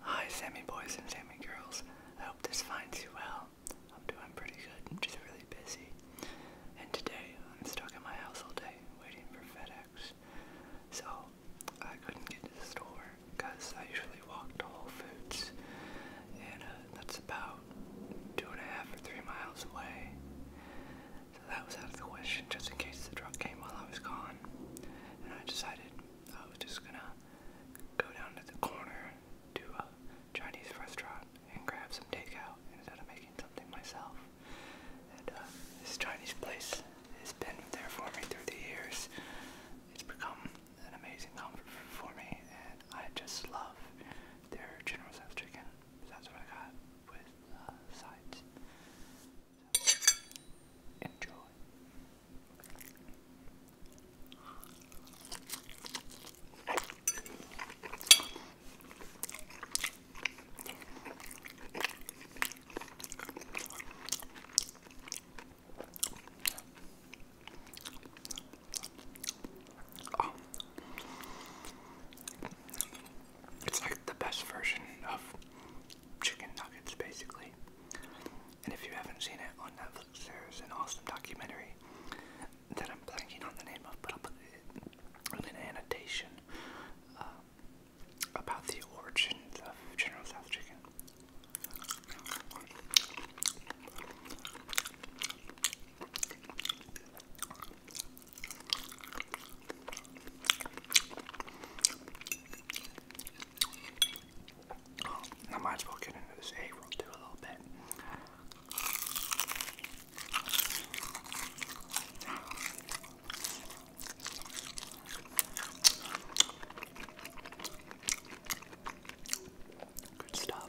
Hi, Sammy boys and Sammy girls. I hope this finds you well. I'm doing pretty good. I'm just really busy. And today, I'm stuck in my house all day waiting for FedEx. So, I couldn't get to the store because I usually walk to Whole Foods. And uh, that's about two and a half or three miles away. So that was out of the question just in case the truck came while I was gone. And I decided I was just gonna go down to the corner to a Chinese restaurant and grab some takeout instead of making something myself. Uh, this Chinese place has been there for me through the years. It's become an amazing comfort for me, and I just love their general south chicken. That's what I got with uh, sides. Enjoy. Oh. It's like the best version of chicken nuggets, basically. And if you haven't seen it on Netflix, there's an awesome documentary that I'm blanking on the name of, but I'll put it in an annotation uh, about the origins of General South Chicken. I might as well get into this egg roll too a little bit. Good stuff.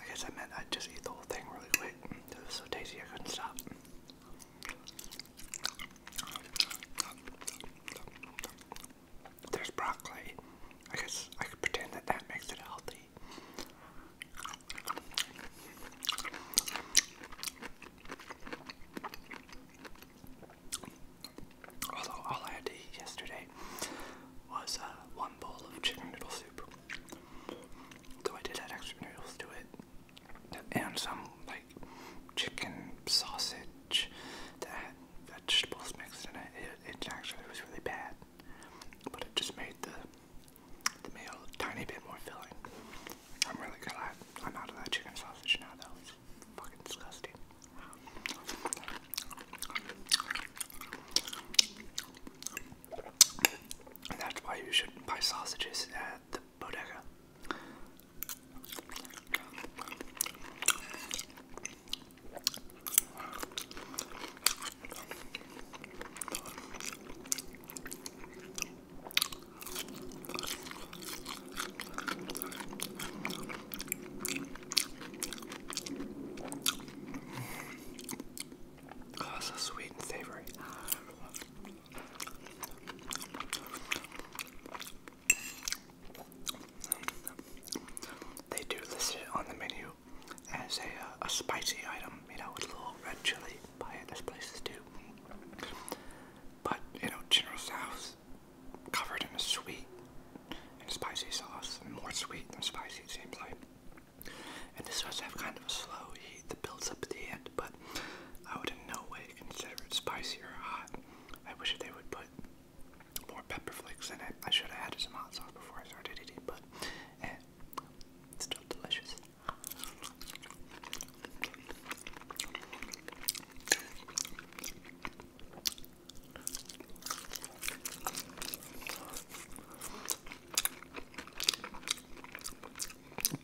I guess I meant I'd just eat the whole thing really quick. It was so tasty I couldn't stop. There's broccoli. I guess I could pretend that that makes it healthy. Although all I had to eat yesterday was uh, one bowl of chicken noodle soup. Though I did add extra noodles to it and some like chicken sausage that had vegetables mixed in it. It, actually was really bad, but it just made the the meal tiny bit more filling. I'm really glad I'm out of that chicken sausage now. That was fucking disgusting. that's why you shouldn't buy sausages at the bodega. Oh, so sweet and savory. They do list it on the menu as a, uh, a spicy item, you know, with a little red chili by places do. But, you know, General Tso's covered in a sweet and spicy sauce, more sweet than spicy it seems like. And this does have kind of a slow heat that builds up at the end, but I would not in no way consider it spicy or hot. I wish they would put more pepper flakes in it. I should have added some hot sauce before I started eating, but eh, it's still delicious.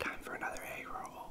Time for another egg roll.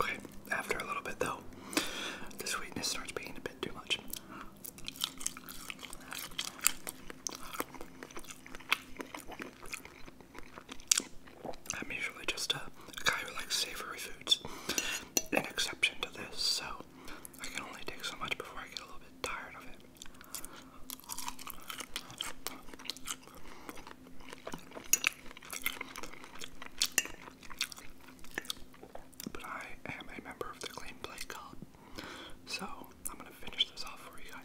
Okay, after a little bit though, the sweetness starts being a bit too much. I'm usually just a guy who likes savory foods, an exception to this, so I can only take so much before I get a little bit tired of it. But I am a member of the Clean Play Club, so I'm gonna finish this off for you guys.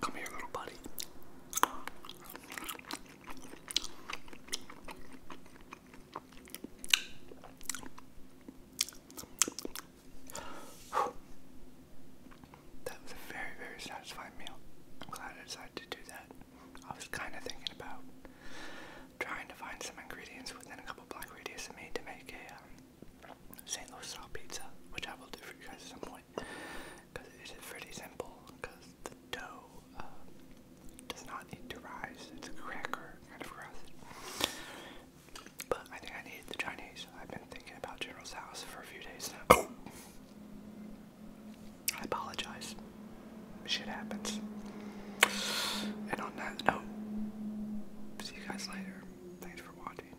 Come here, little buddy. That was a very, very satisfying meal. I'm glad I decided to do that. I was kind of thinking about trying to find some ingredients within a couple block radius of me to make a um, St. Louis style pizza, which I will do for you guys at some point, because it is pretty simple. Because the dough um, does not need to rise; it's a cracker kind of crust. But I think I need the Chinese. I've been thinking about General's House for a few days now. I apologize. Shit happens. And on that note, see you guys later. Thanks for watching.